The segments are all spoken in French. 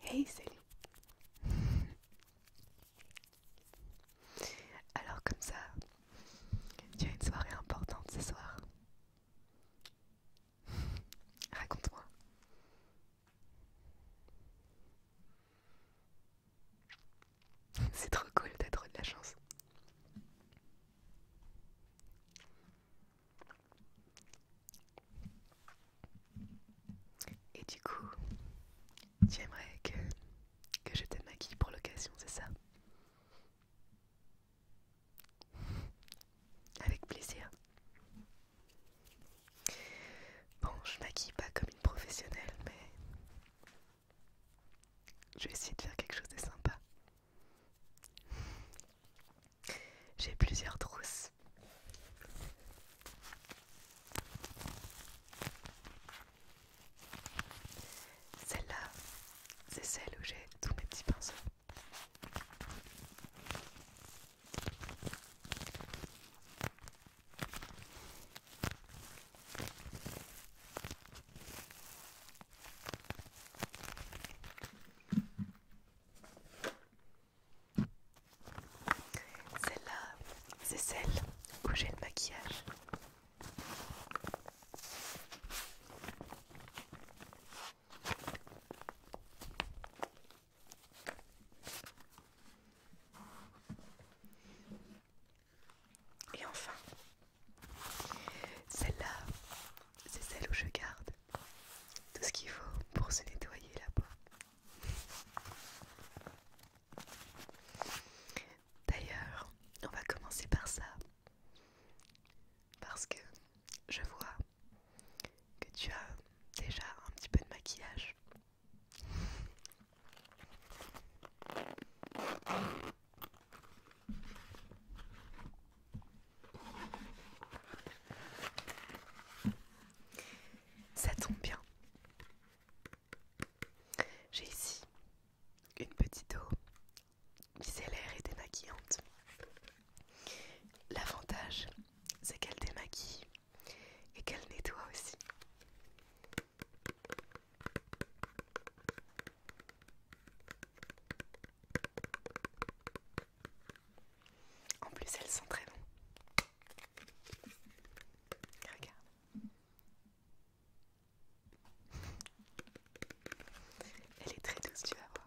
Hey, Alors, comme ça, tu as une soirée importante ce soir? Raconte-moi. C'est trop cool, d'être de la chance. Et du coup, tu aimerais que, que je te maquille pour l'occasion, c'est ça Avec plaisir. Bon, je maquille pas comme une professionnelle, mais je vais essayer de faire quelque chose de sympa. J'ai plusieurs trousses. Celle-là, c'est celle où j'ai tous mes petits pinceaux. Celle-là, c'est celle où j'ai le maquillage. Et enfin, celle-là, c'est celle où je garde tout ce qu'il faut pour se nettoyer là-bas. D'ailleurs, on va commencer par ça. Parce que je vois que tu as déjà un petit peu de maquillage. Ça tombe bien. J'ai ici une petite eau micellaire et démaquillante. L'avantage, c'est qu'elle démaquille et qu'elle nettoie aussi. En plus, elles sont très bon. Regarde. Elle est très douce, tu vas voir.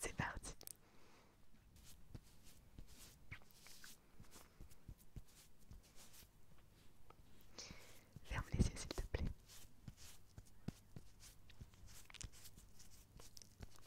C'est parti. Ferme les yeux s'il te plaît.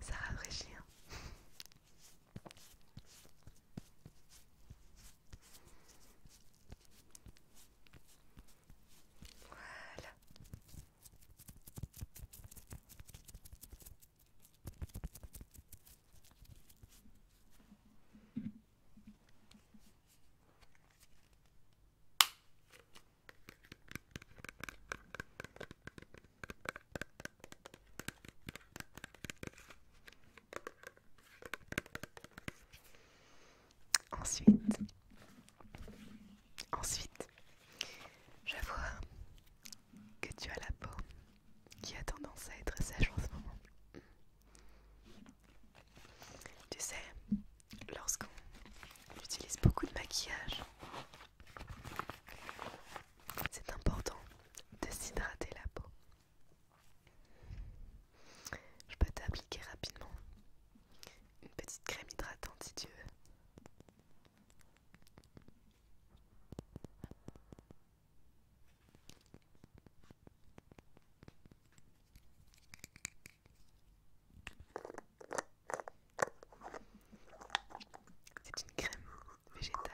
Ça rafraîchit. Hein voilà. Ensuite, ensuite, je vois que tu as la peau qui a tendance à être sèche en ce moment. Tu sais, lorsqu'on utilise beaucoup de maquillage, c'est important de s'hydrater la peau. Je peux t'appliquer rapidement une petite crème hydratante si tu veux. C'est une crème végétale.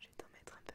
Je vais t'en mettre un peu.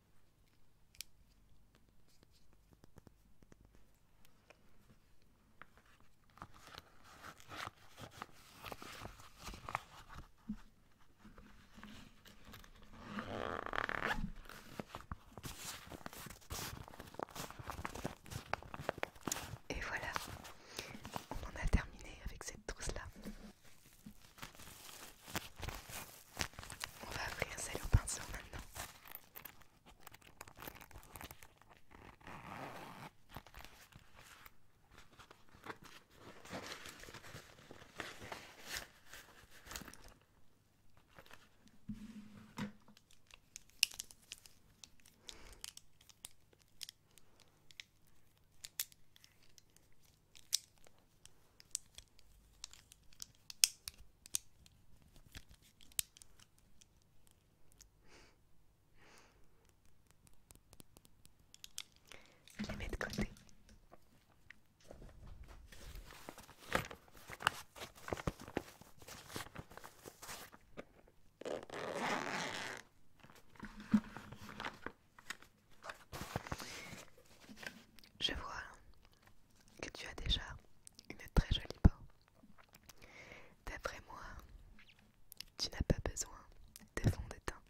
Et voilà, on en a terminé avec cette trousse là. On va ouvrir celle au pinceau maintenant. Je les mettre de côté. Je vois que tu as déjà une très jolie peau. D'après moi, tu n'as pas besoin de fond de teint.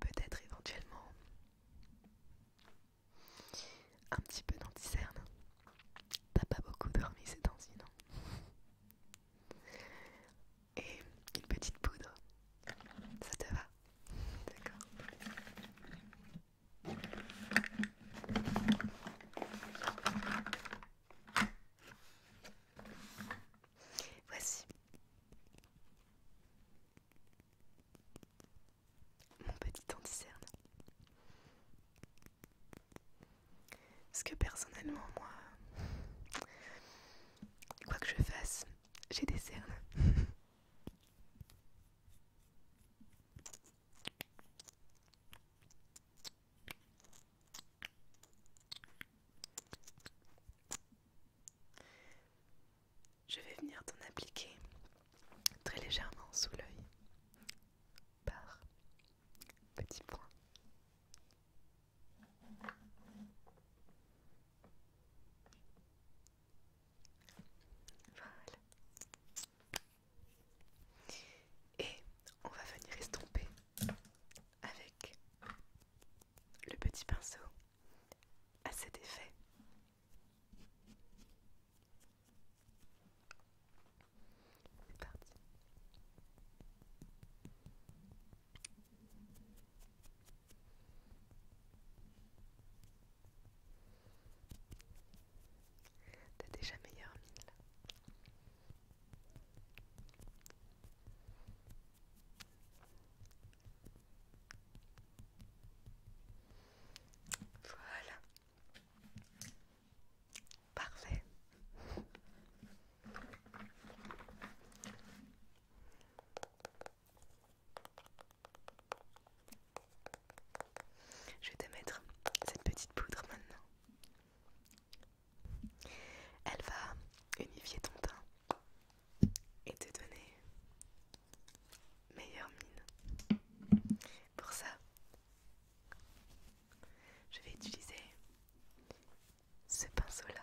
Peut-être éventuellement un petit peu d'anticerne. T'as pas beaucoup dormi ces temps-ci, non Et une petite poudre, ça te va Voici mon petit anticerne cerne Parce que personnellement, moi, quoi que je fasse, j'ai des cernes. Je vais venir t'en appliquer très légèrement sous l'œil par petits points. Et on va venir estomper avec le petit pinceau à cet effet. T'as déjà meilleure mine Voilà. Parfait. Je vais te mettre cette petite poudre maintenant. Elle va unifier ton teint et te donner meilleure mine. Pour ça, je vais utiliser ce pinceau-là.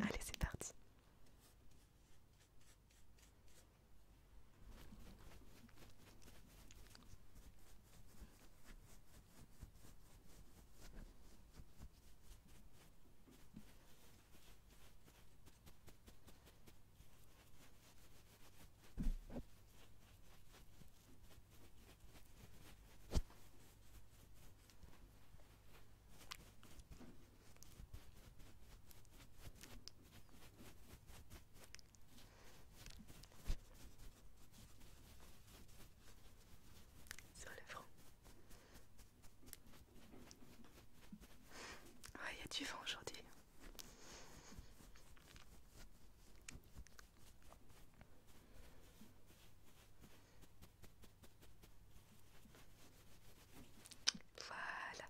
Allez, c'est parti. Sur le front. Ouais, il y a du vent aujourd'hui. Voilà.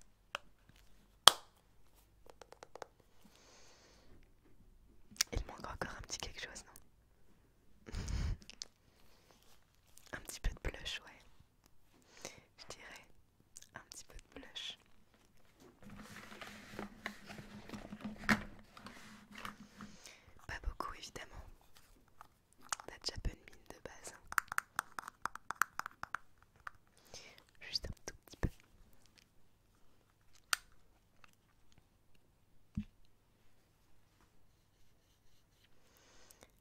Il manque encore un petit quelque chose, non Un petit peu de blush, ouais. Je dirais un petit peu de blush. Pas beaucoup évidemment. a déjà de mine de base. Juste un tout petit peu.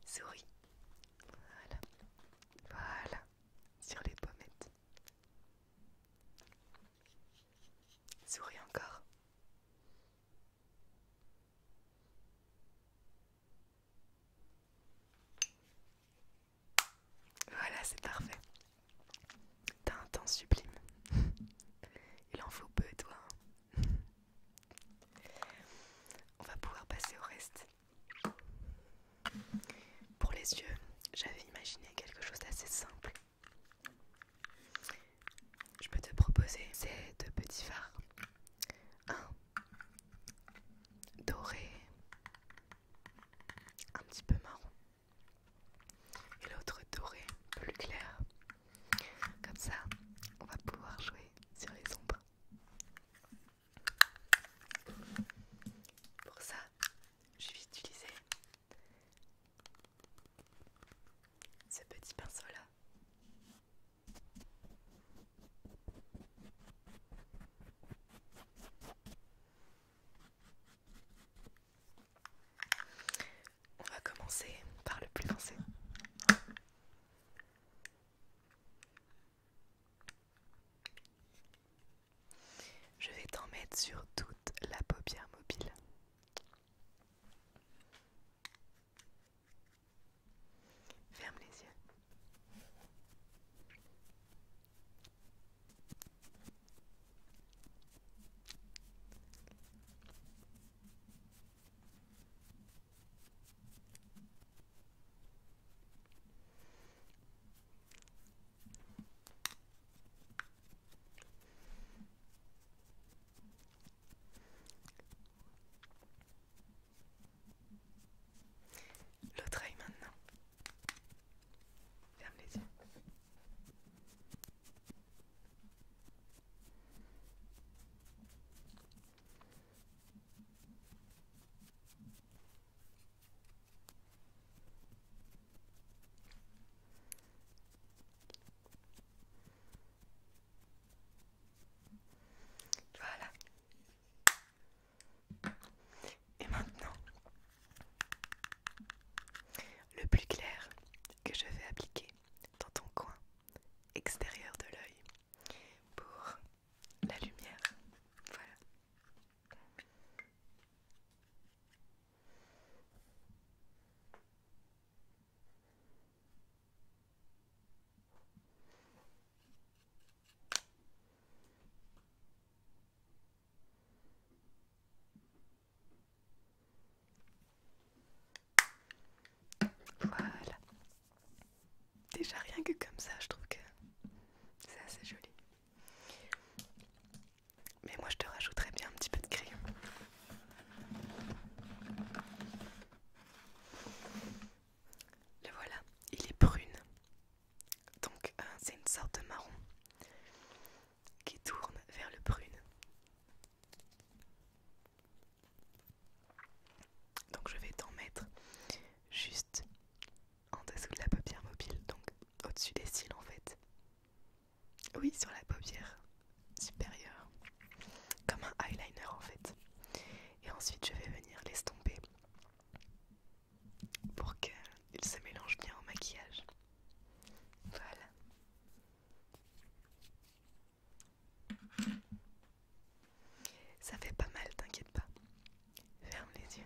Souris. Voilà. Voilà. Sur les pommettes. Souris encore. Voilà, c'est parfait. T'as un temps sublime. Il en faut peu, toi. Hein. On va pouvoir passer au reste. Pour les yeux, j'avais imaginé quelque chose d'assez simple. Je peux te proposer ces deux petits phares. Un doré, un petit peu marron, et l'autre doré, plus clair. Comme ça, on va pouvoir jouer sur les ombres. Pour ça, je vais utiliser ce petit pinceau-là. On va commencer par le plus lancé. Je vais t'en mettre sur toute la paupière mobile. Ferme les yeux. L'autre œil maintenant. Ferme les yeux. Voilà. Et maintenant, le plus clair que je vais appliquer dans ton coin extérieur de l'œil pour la lumière. Voilà. Voilà. Déjà rien que comme ça, je trouve que c'est assez joli. Mais moi, je te rajouterai bien un petit peu de crayon. Le voilà, il est prune. Donc, euh, c'est une sorte de marron qui tourne vers le prune. Donc, je vais t'en mettre juste en dessous de la paupière mobile, donc au-dessus des cils en fait. Oui, sur la paupière supérieure. Comme un eyeliner en fait. Et ensuite, je vais venir l'estomper pour qu'il se mélange bien au maquillage. Voilà. Ça fait pas mal, t'inquiète pas. Ferme les yeux.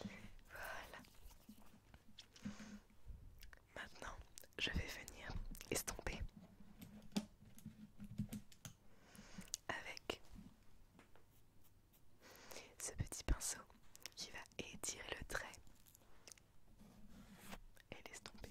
Voilà. Maintenant, je vais venir estomper avec ce petit pinceau qui va étirer le trait et l'estomper.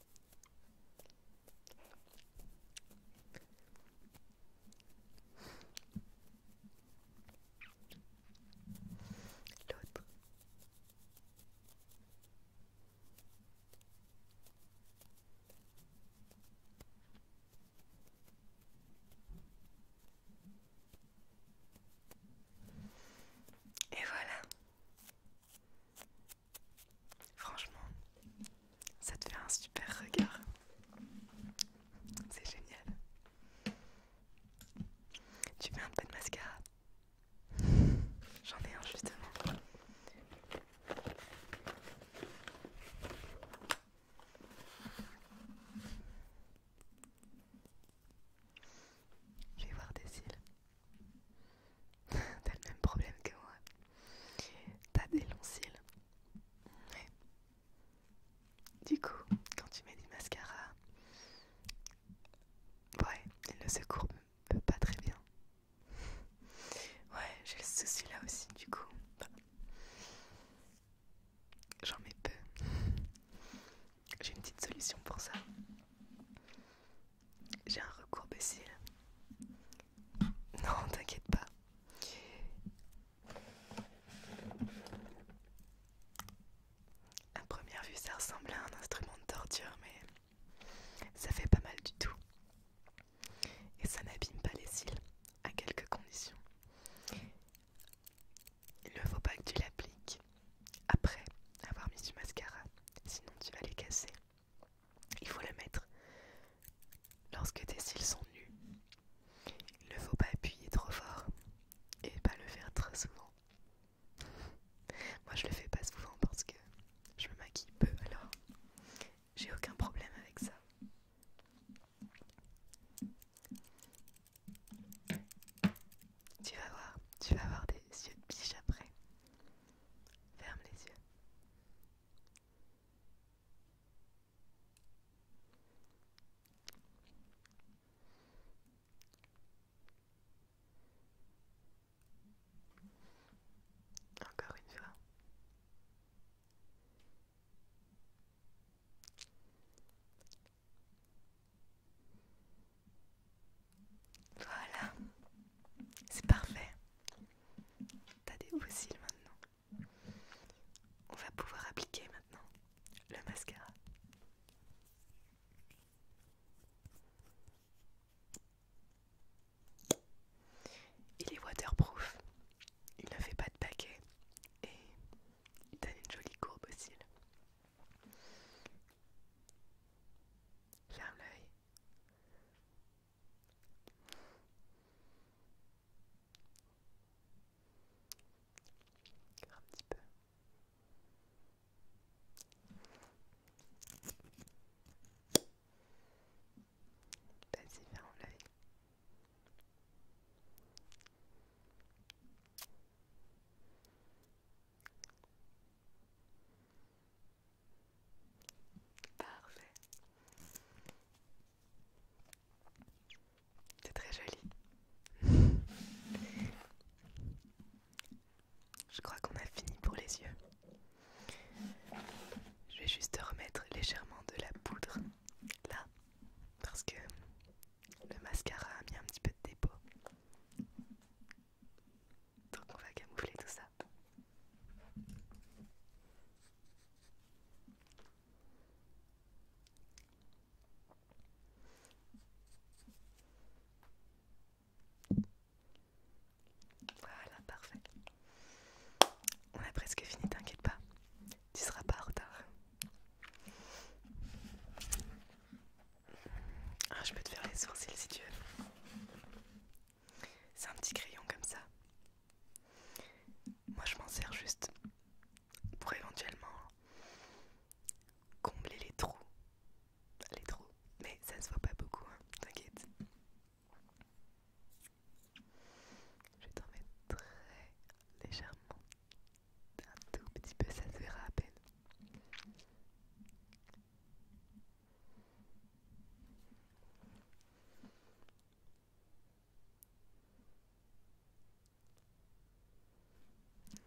L'autre. Et voilà. Franchement, ça te fait un super regard. C'est génial. Tu veux un peu de mascara. J'en ai un justement. Je vais voir des cils. T'as le même problème que moi. T'as des longs cils. Du coup, quand tu mets du mascara, ouais, il ne se courbe pas très bien. Ouais, j'ai le souci là aussi, du coup. J'en mets peu. J'ai une petite solution pour ça. J'ai un recours cils. Non, t'inquiète pas. À première vue, ça ressemble à un instrument de torture, mais ça fait pas mal du tout. Et ça n'abîme pas les cils, à quelques conditions. Il ne faut pas que tu l'appliques après avoir mis du mascara, sinon tu vas les casser. Il faut le mettre lorsque tes cils sont nus. Il ne faut pas appuyer trop fort et pas le faire très souvent. Moi je le fais pas souvent parce que je me maquille peu alors j'ai aucun problème avec ça. Tu vas voir, tu vas avoir des yeux de biche après. Ferme les yeux. Encore une fois. Voilà, c'est parfait. T'as des fossiles maintenant. On va pouvoir appliquer maintenant le mascara. Il est waterproof, il ne fait pas de paquet et il donne une jolie courbe aussi. Ferme l'œil. Un petit peu. Vas-y, ferme l'œil. Parfait. C'est très joli. Je crois qu'on a fini pour les yeux. Je vais juste remettre légèrement de la poudre là parce que le mascara a mis un petit peu de dépôt. Donc on va camoufler tout ça. Voilà, parfait. On a presque fini, t'inquiète pas. Tu seras pas en retard. Ah, je peux te faire les sourcils si tu veux. C'est un petit crayon comme ça. Moi je m'en sers juste pour éventuellement combler les trous. Les trous. Mais ça se voit pas beaucoup, hein, t'inquiète. Je vais t'en mettre très légèrement. Un tout petit peu, ça se verra à peine.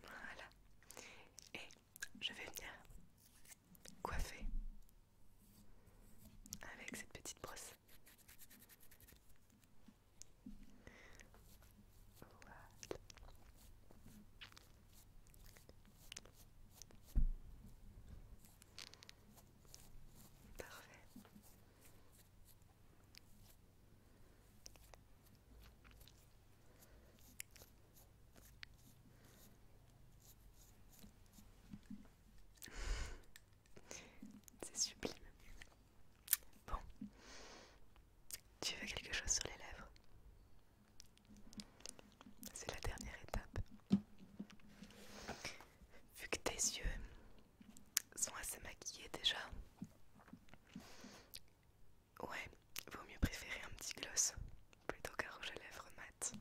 Voilà. Et je vais venir coiffer avec cette petite brosse. Parfait. C'est sublime. Bon. Tu veux quelque chose sur les lèvres C'est la dernière étape. Vu que tes yeux sont assez maquillés déjà. Ouais, vaut mieux préférer un petit gloss plutôt qu'un rouge à lèvres mat.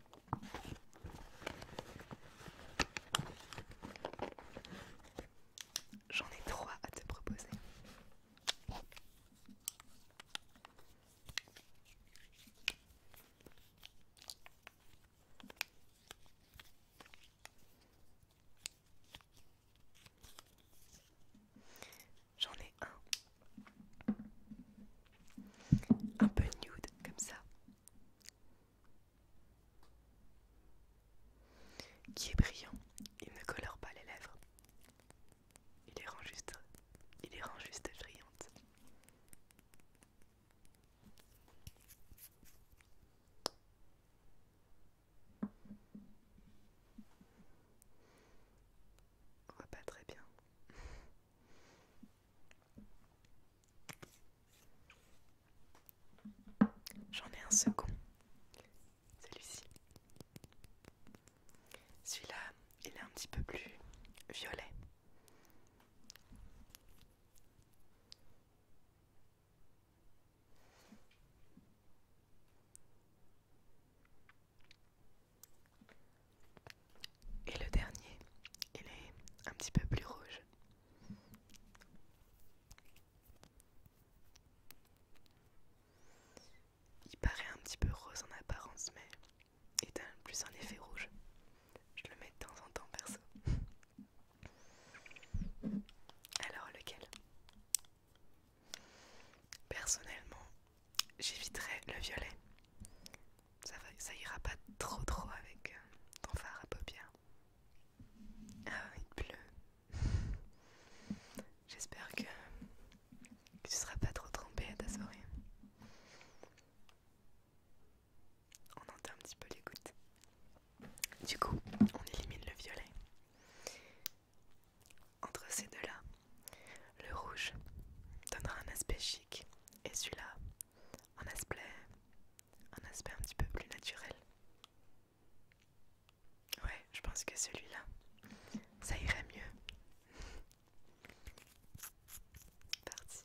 J'en ai trois à te proposer. J'en ai un. Un peu nude, comme ça. Qui est brillant. Il ne colore pas les lèvres. Il les rend juste, il les rend juste brillantes. On voit pas très bien. J'en ai un second. Celui-ci. Celui-là, il est un petit peu plus violet. Et le dernier, il est un petit peu plus rouge. Il paraît un petit peu rose en apparence, mais est plus en effet rouge. Je le mets de temps en temps perso. Alors lequel Personnellement, j'éviterai le violet. Ça, ira pas trop trop avec euh, ton phare à paupières. Ah, il pleut. J'espère que, tu tu seras pas trop trompé à ta soirée on entend un petit peu les gouttes. Du coup, on élimine le violet. Entre ces deux-là, le rouge donnera un aspect chic et celui-là un aspect, un aspect un petit peu plus naturel. Ouais, je pense que celui-là, ça irait mieux. Parti.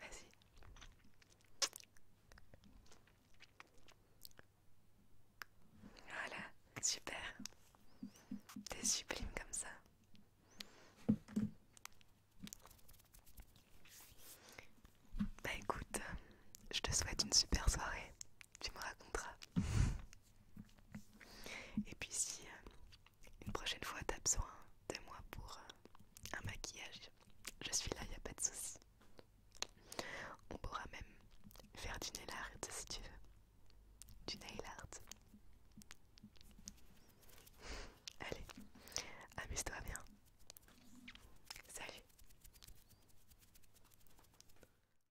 Vas-y. Voilà, super. T'es sublime comme ça. Bah écoute, je te souhaite une super soirée tu me raconteras. Et puis si euh, une prochaine fois t'as besoin de moi pour euh, un maquillage, je suis là, y a pas de souci. On pourra même faire du nail art si tu veux. Du nail art. Allez, amuse-toi bien. Salut.